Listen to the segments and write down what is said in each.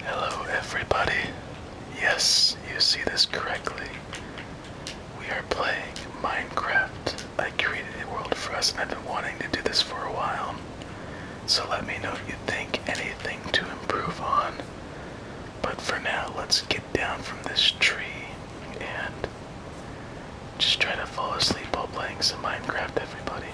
Hello, everybody. Yes, you see this correctly. We are playing Minecraft. I created a world for us, and I've been wanting to do this for a while. So let me know if you think anything to improve on. But for now, let's get down from this tree and just try to fall asleep while playing some Minecraft, everybody.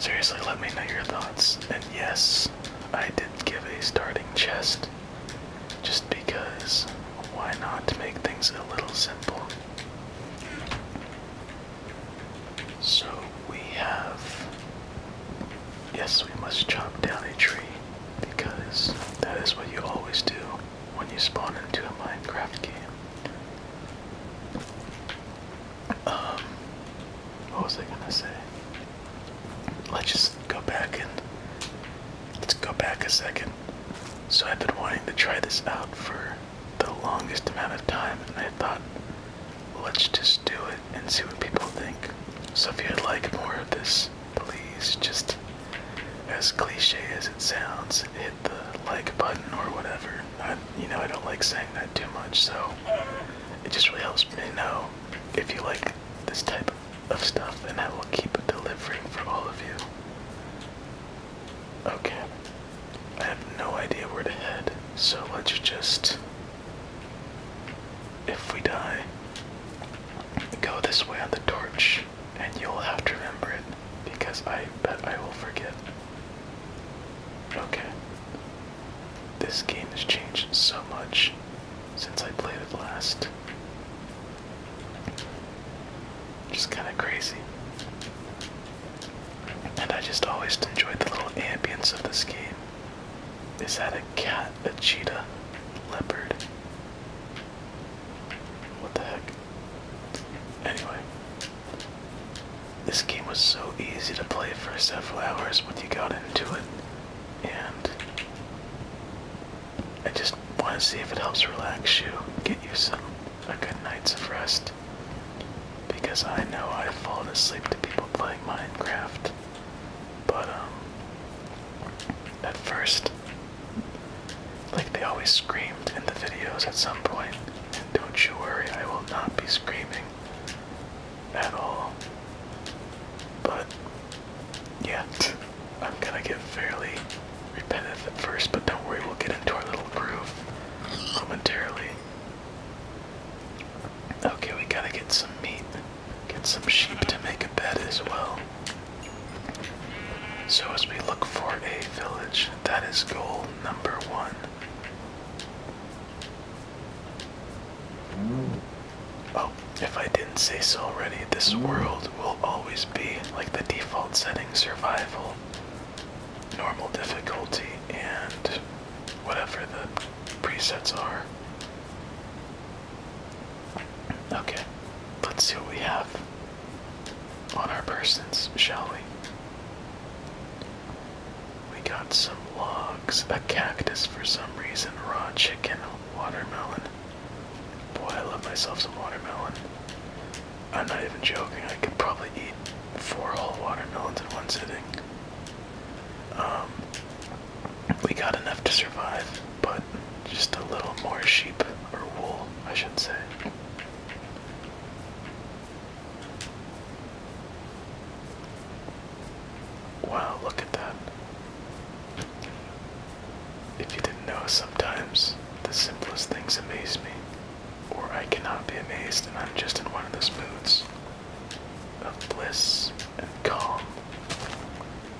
Seriously, let me know your thoughts. And yes, I did give a starting chest just because why not make things a little simple? So we have. Yes, we must chop down a tree because that is what you always do when you spawn into a Minecraft game. Um, what was I gonna say? Let's just go back and let's go back a second. So I've been wanting to try this out for the longest amount of time, and I thought, let's just do it and see what people think. So if you'd like more of this, please just, as cliche as it sounds, the like button or whatever. you know, I don't like saying that too much, so it just really helps me know if you like this type of stuff, and I will keep delivering for all of you. Okay, I have no idea where to head, so let's just, if we die, go this way on the torch, and you'll have to remember it because I bet I will forget. Okay. This game has changed so much since I played it last. Just kind of crazy. And I just always enjoyed the little ambience of this game. Is that a cat, a cheetah, leopard? What the heck? Anyway, this game was so easy to play for several hours when you got into it, and I just want to see if it helps relax you, get you some a good night's of rest, because I know I've fallen asleep to people playing Minecraft, but um, at first like they always screamed in the videos at some point. don't you worry, I will not be screaming at all. But yet, I'm gonna get fairly repentant at first, but don't worry, we'll get into our little groove momentarily. Okay, we gotta get some meat, get some sheep to make a bed as well. So, as we look for a village, that is gold number one. Oh, if I didn't say so already, this world will always be like the default setting survival, normal difficulty, and whatever the presets are. Okay, let's see what we have on our persons, shall we? We got some logs, a cactus for some reason, raw chicken, watermelon. Boy, I love myself some watermelon. I'm not even joking, I could probably eat four whole watermelons in one sitting. Um, we got enough to survive, but just a little more sheep, or wool, I should say. Wow, look at that. If you didn't know, sometimes the simplest things amaze me, or I cannot be amazed, and I'm just in one of those moods of bliss and calm,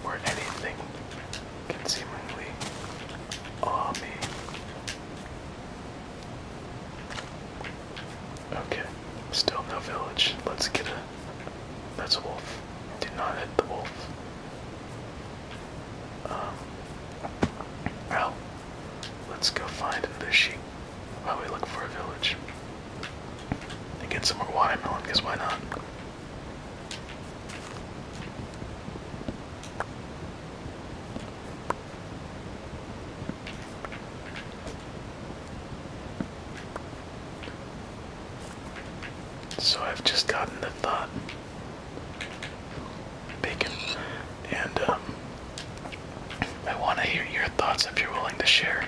where anything can seemingly awe me. Okay, still no village. Let's get a. That's a wolf. Do not hit the wolf. Um. Well, let's go find the sheep while we look for a village. And get some more watermelon, because why not? So I've just gotten the thought bacon and um, I want to hear your thoughts if you're willing to share.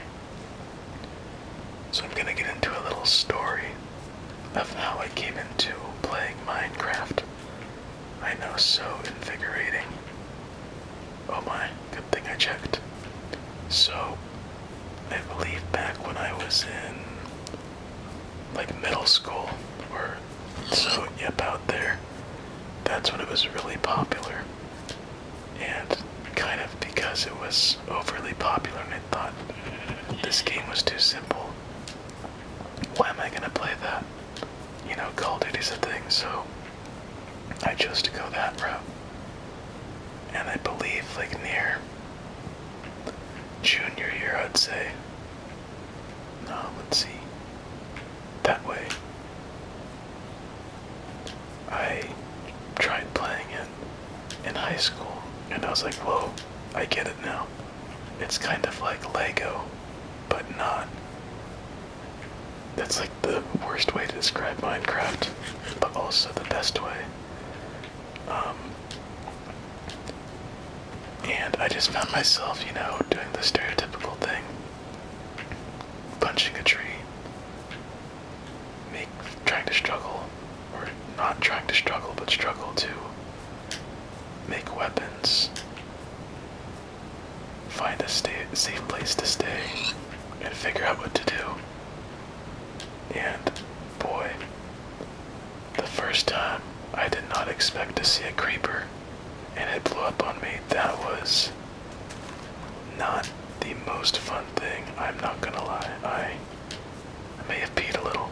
So I'm going to get into a little story of how I came into playing Minecraft I know, so invigorating. Oh my, good thing I checked. So, I believe back when I was in like middle school or so, yep, out there, that's when it was really popular. And kind of because it was overly popular, and I thought mm, this game was too simple, why am I gonna play that? You know, Call of Duty's a thing, so I chose to go that route. And I believe, like, near junior year, I'd say. No, let's see. That way. I tried playing it in high school, and I was like, whoa, I get it now. It's kind of like Lego, but not. That's like the worst way to describe Minecraft, but also the best way. Um, and I just found myself, you know, doing the stereotypical thing punching a tree, make, trying to struggle, or not trying to struggle, but struggle to make weapons find a safe place to stay, and figure out what to do. And boy, the first time I did not expect to see a creeper, and it blew up on me. That was not the most fun thing, I'm not gonna lie. I may have peed a little.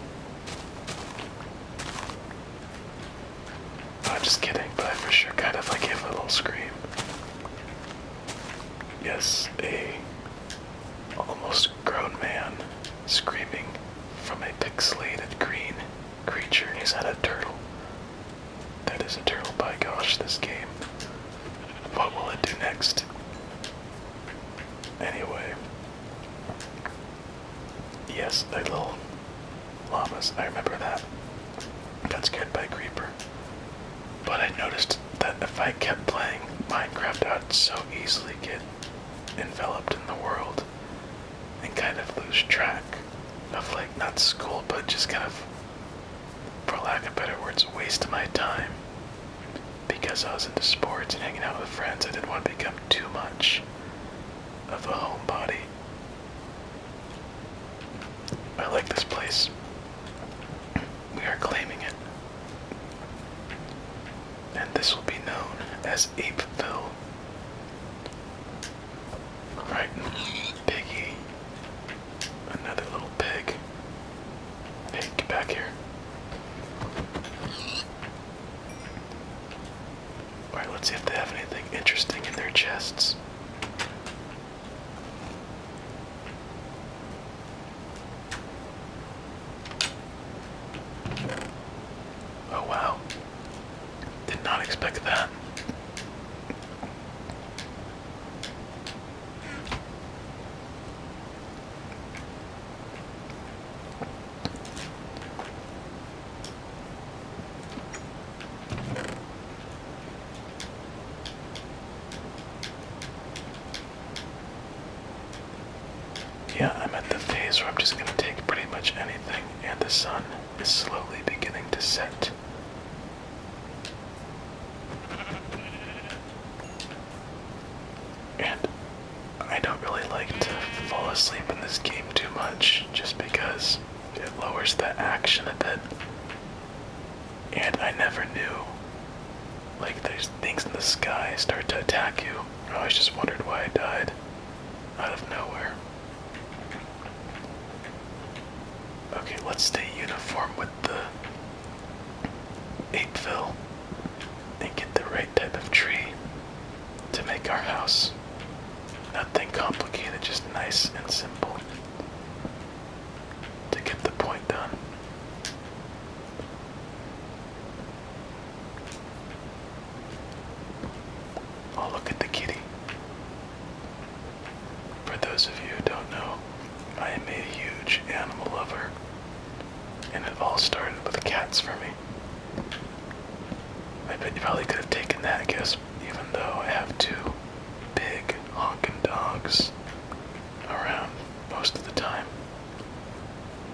I'm just kidding, but I for sure kind of like gave a little scream. Yes, a almost grown man screaming from a pixelated green creature. He's that a turtle? That is a turtle, by gosh, this game. What will it do next? Anyway. Yes, a little llamas. I remember that. Got scared by creeper. But I noticed that if I kept playing Minecraft, I'd so easily get enveloped in the world and kind of lose track of, like, not school, but just kind of, for lack of better words, waste my time. Because I was into sports and hanging out with friends, I didn't want to become too much of a homebody. I like this place. We are claiming it. And this will be known as Apeville. Alright, piggy. Another little pig. Hey, get back here. Alright, let's see if they have anything interesting in their chests. Oh wow. Did not expect that. Yeah, I'm at the phase where I'm just going to take pretty much anything, and the sun is slowly beginning to set. And I don't really like to fall asleep in this game too much just because it lowers the action a bit. And I never knew. Like, there's things in the sky start to attack you. I always just wondered why I died out of nowhere. Okay, let's stay uniform with the apeville and get the right type of tree to make our house. Nothing complicated, just nice and simple to get the point done. Oh, look at the kitty. For those of you who don't know, I am a huge animal lover, and it all started with cats for me. I bet you probably could have taken that, I guess, even though I have two big honking dogs around most of the time.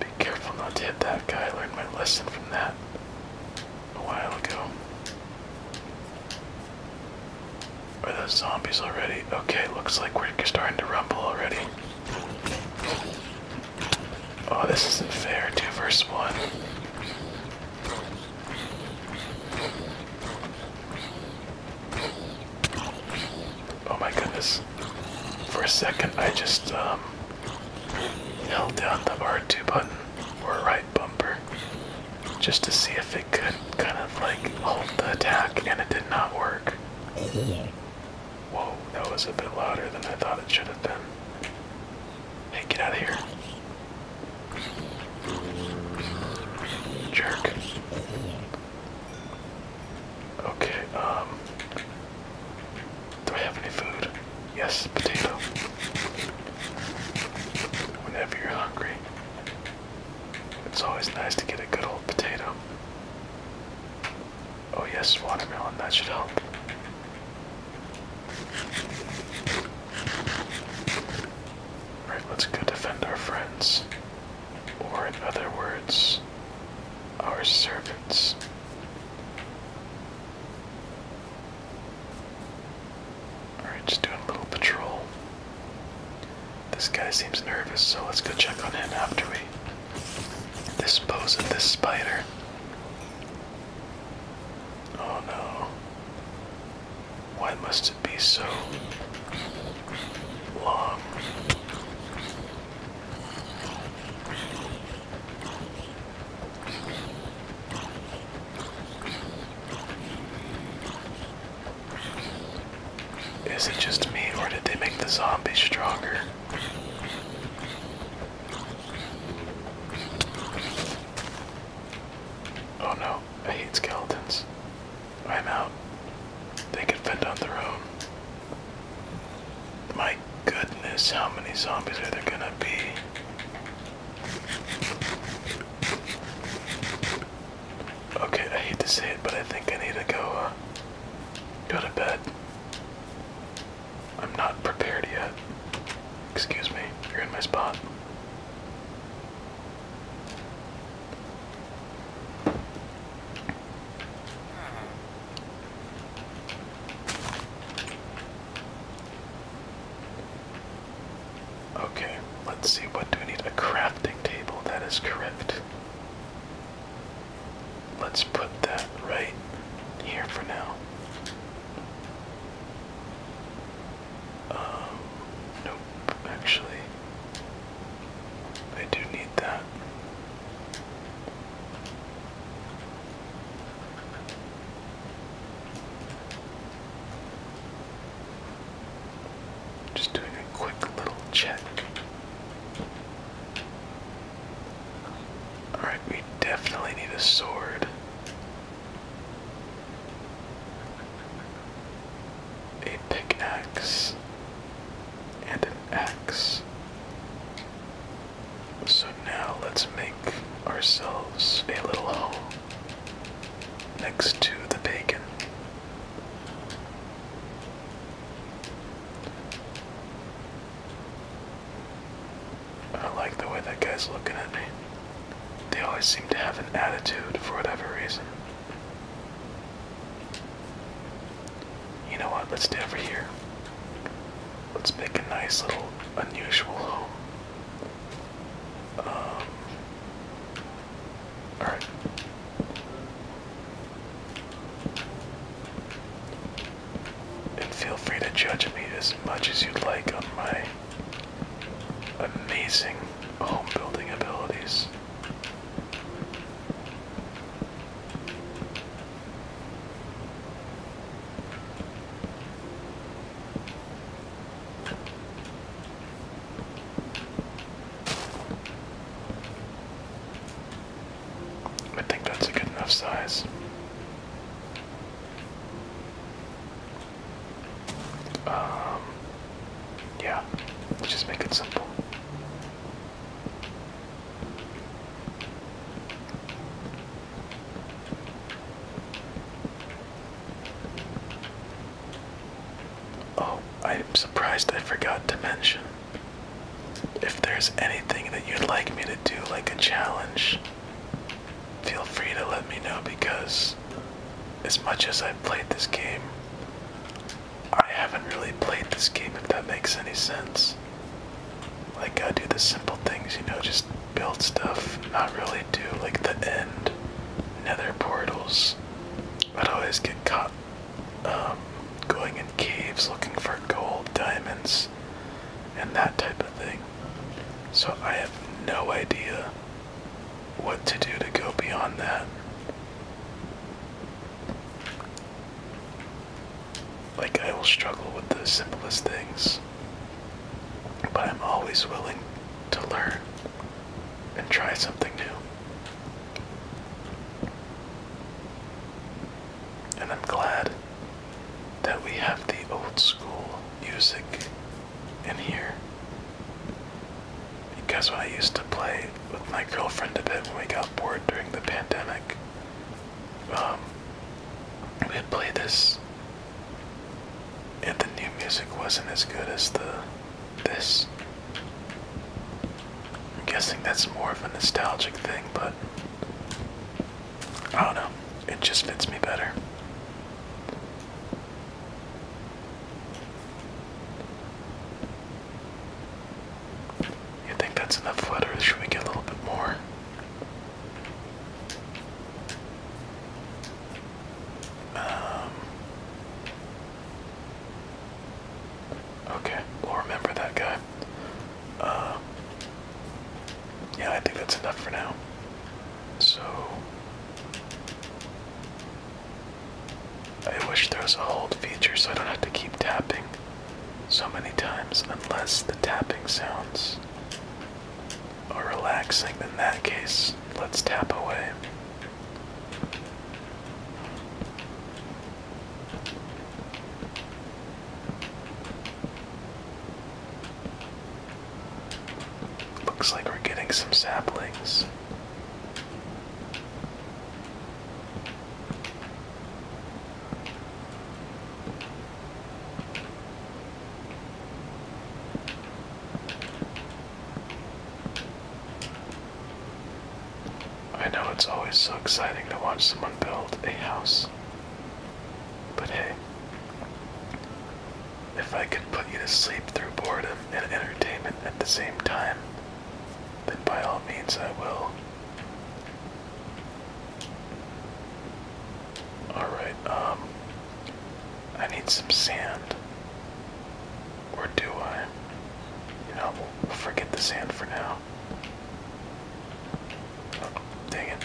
Be careful not to hit that guy. learned my lesson from that a while ago. Are those zombies already? Okay, looks like we're starting to rumble already. Oh, this isn't fair. Two versus one. Oh my goodness. For a second, I just um, held down the R2 button or right bumper just to see if it could kind of like hold the attack, and it did not work. Oh. Whoa, that was a bit louder than I thought it should have been. Hey, get out of here. Jerk. Okay, um. Do I have any food? Yes, potato. Whenever you're hungry, it's always nice to get a good old potato. Oh, yes, watermelon, that should help. Alright, let's go defend our friends. Or, in other words, our servants. Alright, just doing a little patrol. This guy seems nervous, so let's go check on him after we dispose of this spider. Oh no. Why must it be so long? Is it just me, or did they make the zombie stronger? Oh no, I hate skeletons. I'm out. They can fend on their own. My goodness, how many zombies are there gonna be? Okay, I hate to say it, but I think I need to go, uh, go to bed. I'm not prepared yet. Excuse me, you're in my spot. Okay, let's see what do we need? A crafting table, that is correct. Let's put that right here for now. Um, nope, actually, I do need that. Just doing a quick little check. Alright, we definitely need a sword a pickaxe, and an axe. So now let's make ourselves a little home next to the bacon. I like the way that guy's looking at me. They always seem to have an attitude for whatever reason. You know what? Let's stay over here. Let's make a nice little unusual um, Alright and feel free to judge me as much as you'd like on my amazing home building abilities. I think that's a good enough size. Um, yeah, just make it simple. Oh, I'm surprised I forgot to mention. If there's anything that you'd like me to do, like a challenge, feel free to let me know because as much as I've played this game, I haven't really played this game if that makes any sense. Like I do the simple things, you know, just build stuff, not really do like the end, nether portals. I'd always get caught um, going in caves looking for gold, diamonds, and that type of thing. So I have no idea what to do to go beyond that. Like, I will struggle with the simplest things, but I'm always willing to learn and try something new. And I'm glad that we have the old school music in here. Because when I used to play with my girlfriend a bit when we got bored during the pandemic, um, we'd play this, and the new music wasn't as good as the this. I'm guessing that's more of a nostalgic thing, but Oh no, It just fits me better. You think that's enough flood, should we get a little bit more? Um, okay, we'll remember that guy. Uh, yeah, I think that's enough for now. So, I wish there was a hold feature so I don't have to keep tapping so many times, unless the tapping sounds are relaxing. In that case, let's tap away. Looks like we're getting some saplings. I know it's always so exciting to watch someone build a house. But hey, if I can put you to sleep through boredom and entertainment at the same time, then by all means I will. Alright, um. I need some sand. Or do I? You know, forget the sand for now. Oh, dang it.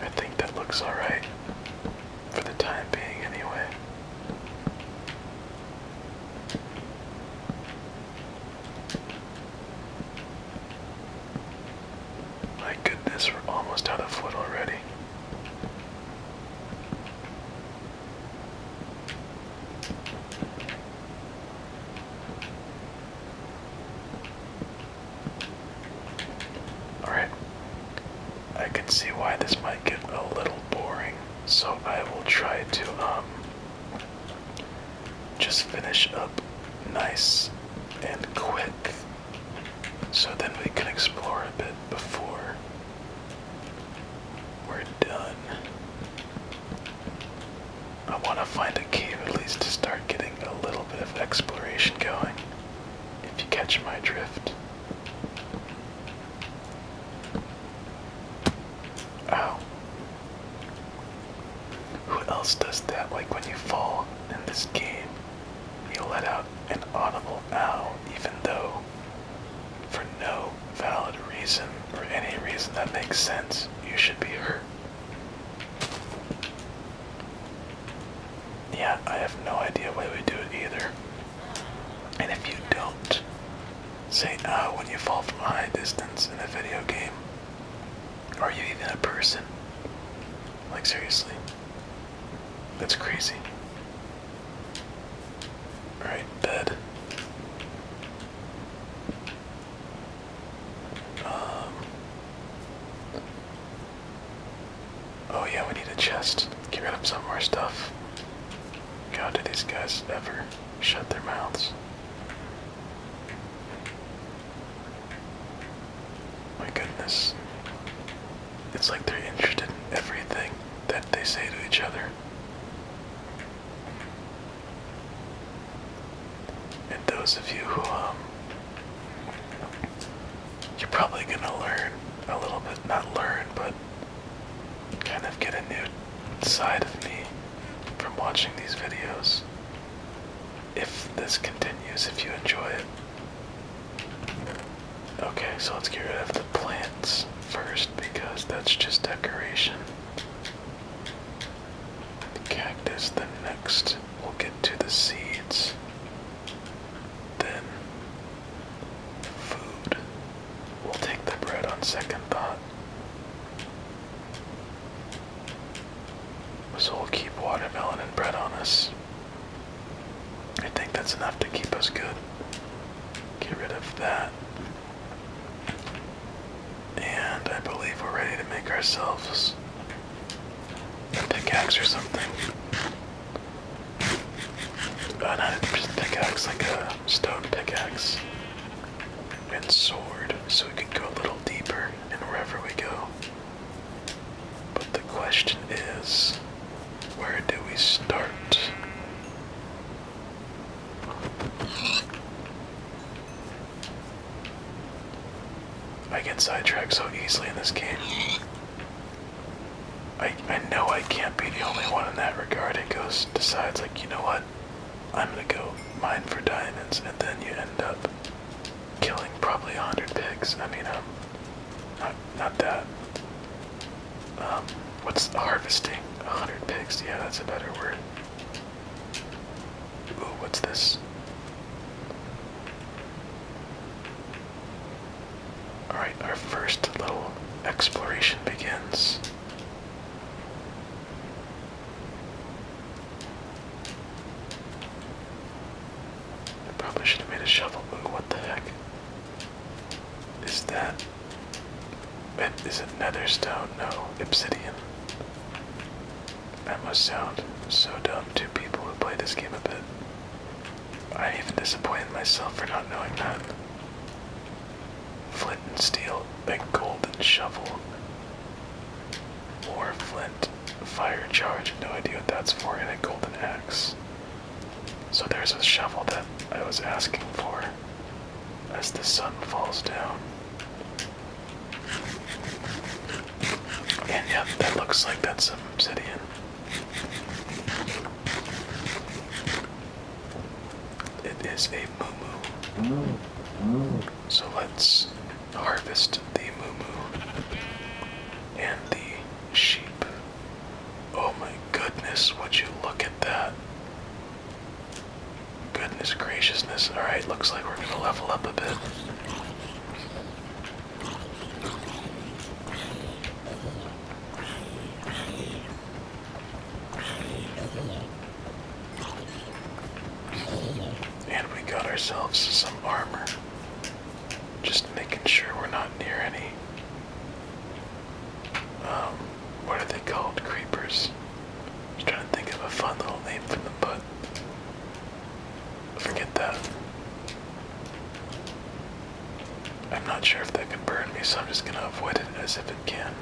I think that looks alright. For the time being, anyway. My goodness, we're almost out of wood already. Alright. I can see why this might get a little boring, so I will try to um, just finish up nice and quick so then we can explore a bit before we're done. I want to find a cave at least to start getting a little bit of exploration going, if you catch my drift. Ow. Who else does that? Like when you fall in this game, you let out an audible ow, even though for no valid reason or any reason that makes sense, you should be hurt. Yeah, I have no idea why we do it either. And if you don't, say ah when you fall from a high distance in a video game. Are you even a person? Like seriously. That's crazy. Alright, bed. Um, oh yeah, we need a chest. Get rid of some more stuff. God, do these guys ever shut their mouths? My goodness. It's like they're interested in everything that they say to each other. And those of you who, um, you're probably gonna learn a little bit, not learn, but kind of get a new side of me from watching these videos. If this continues, if you enjoy it. Okay, so let's get rid of the plants first because that's just decoration the cactus, The next we'll get to the seeds, then food. We'll take the bread on second thought. So we'll keep watermelon and bread on us. I think that's enough to keep us good. Get rid of that. And I believe we're ready to make ourselves a pickaxe or something. Uh, not just pickaxe, like a stone pickaxe. And sword, so we can go a little deeper in wherever we go. But the question is, where do we start? I get sidetracked so easily in this game. I, I know I can't be the only one in that regard. It goes, decides, like, you know what? I'm gonna go mine for diamonds, and then you end up killing probably 100 pigs. I mean, um, not, not that. Um, what's harvesting? 100 pigs? Yeah, that's a better word. Ooh, what's this? Alright, our first little exploration begins. I probably should have made a shovel. what the heck? Is that. Is it nether No, obsidian. That must sound so dumb to people who play this game a bit. i even disappointed myself for not knowing that. Flint and steel, a golden shovel. Or flint, fire charge, no idea what that's for, and a golden axe. So there's a shovel that I was asking for as the sun falls down yeah, that looks like that's obsidian. It is a moo So let's harvest the moo and the sheep. Oh my goodness, would you look at that? Goodness graciousness. Alright, looks like we're going to level up a bit. And we got ourselves some armor. Just making sure we're not near any. Um, what are they called? Creepers. Just trying to think of a fun little name for the but forget that. I'm not sure if that can burn me, so I'm just gonna avoid it as if it can.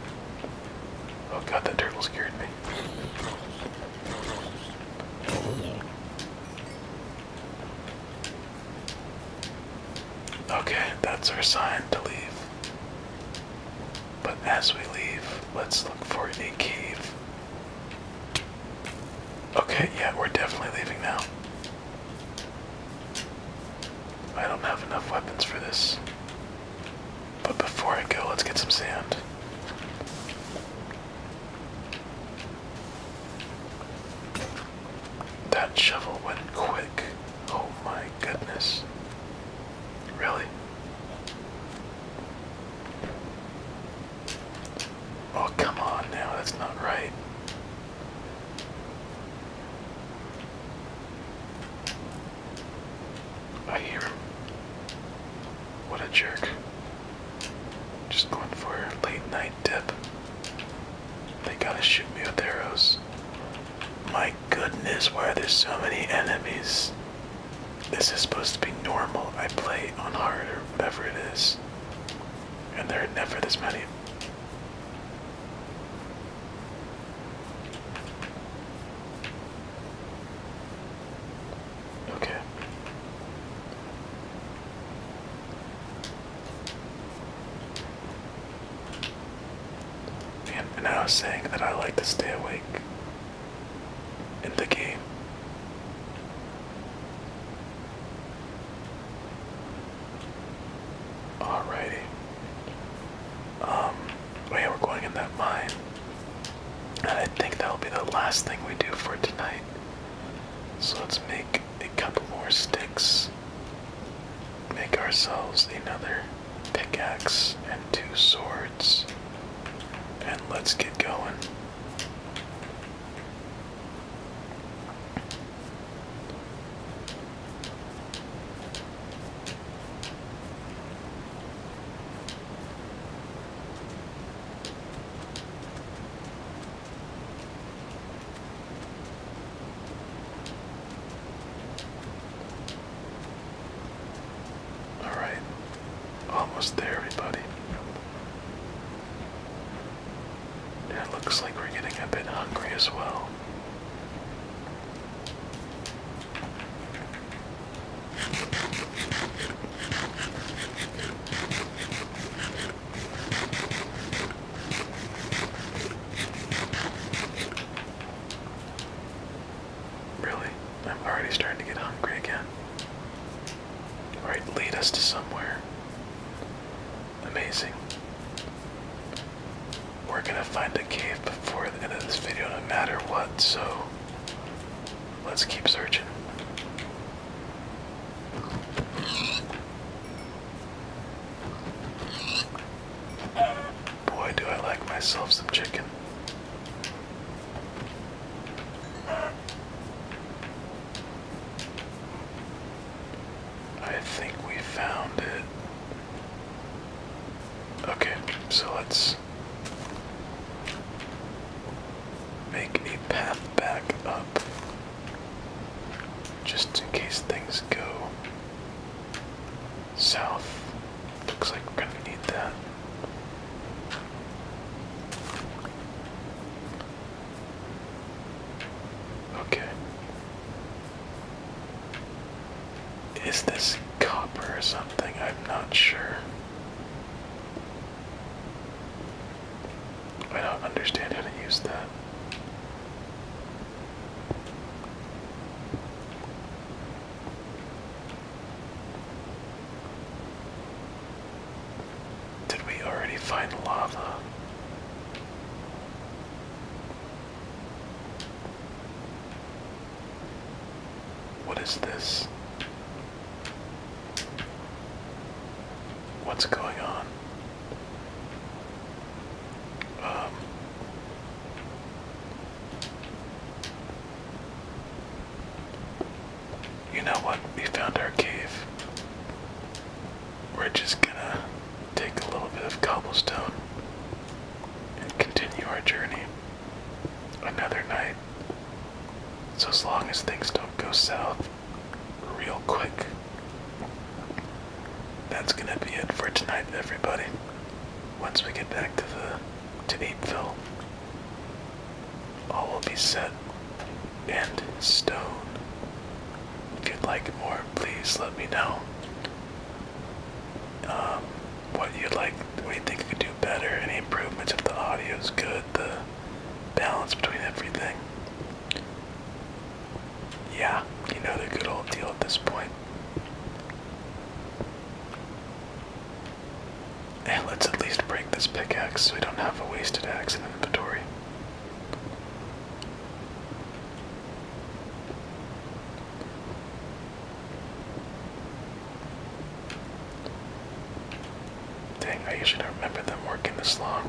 Oh god, that turtle scared me. Okay, that's our sign to leave. But as we leave, let's look for a cave. Okay, yeah, we're definitely leaving now. I don't have enough weapons for this. But before I go, let's get some sand. That shovel went quick. Oh my goodness. Really? Oh, come on now, that's not right. I hear him. What a jerk. Just going for a late night dip. They gotta shoot me with arrows. Mike goodness, why are there so many enemies? This is supposed to be normal. I play on hard or whatever it is. And there are never this many. Okay. And, and saying that I like to stay awake in the game. Alrighty. Um, oh yeah, we're going in that mine. I think that'll be the last thing we do for tonight. So let's make a couple more sticks. Make ourselves another pickaxe and two swords. And let's get going. Alright. Almost there, everybody. And it looks like we're getting a bit hungry as well. Really? I'm already starting to get hungry again. Alright, lead us to somewhere. Amazing. We're gonna find a cave before the end of this video, no matter what, so let's keep searching. Boy, do I like myself some chicken. I think we found it. Okay, so let's make a path back up just in case things go south. Looks like we're gonna need that. Okay. Is this copper or something? I'm not sure. I don't understand how to use that. Did we already find lava? What is this? What's going on? Um, you know what? We found our cave. We're just gonna take a little bit of cobblestone and continue our journey another night. So, as long as things don't go south real quick, that's gonna be it for tonight, everybody. Once we get back to the to Needville. All will be set and stone. If you'd like more, please let me know. Um, what you'd like, what you think you could do better, any improvements if the audio is good, the balance between everything. Yeah, you know the good old deal at this point. Hey, let's at least break this pickaxe so we don't have a wasted axe in inventory. Dang, I usually don't remember them working this long.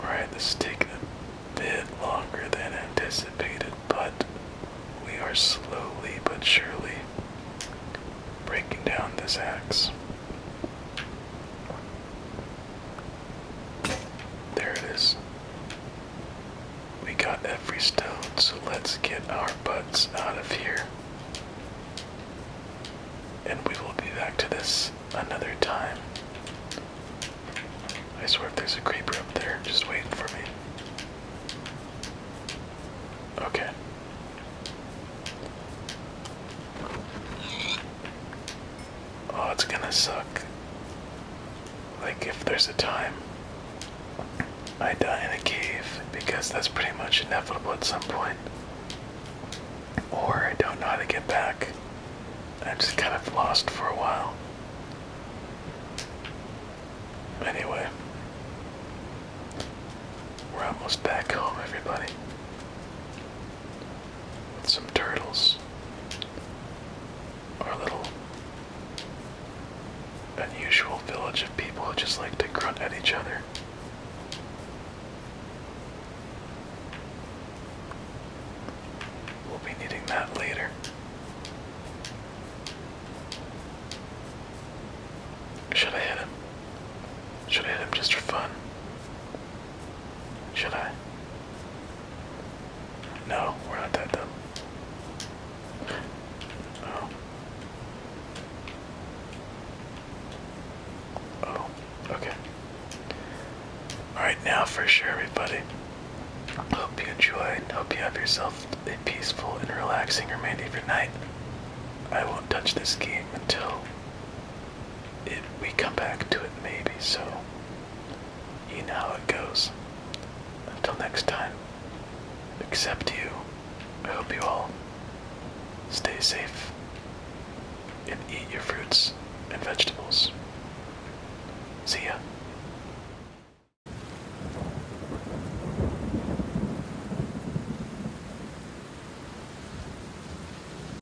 Alright, this is taking a bit longer than anticipated, but we are slowly but surely breaking down this axe. There it is. We got every stone, so let's get our butts out of here. And we will be back to this another time. I swear if there's a creeper up there, just waiting for me. Okay. Oh, it's gonna suck. Like, if there's a time I die in a cave, because that's pretty much inevitable at some point. Or I don't know how to get back. I'm just kind of lost for a while. Anyway, we're almost back home, everybody some turtles or a little unusual village of people who just like to grunt at each other. We'll be needing that later. Should I hit him? Should I hit him just for fun? Should I? No, we're not that dumb. Oh. Oh, okay. Alright, now for sure, everybody. Hope you enjoy. Hope you have yourself a peaceful and relaxing remainder of your night. I won't touch this game until we come back to it maybe, so you know how it goes. Until next time, accept you, I hope you all stay safe and eat your fruits and vegetables. See ya.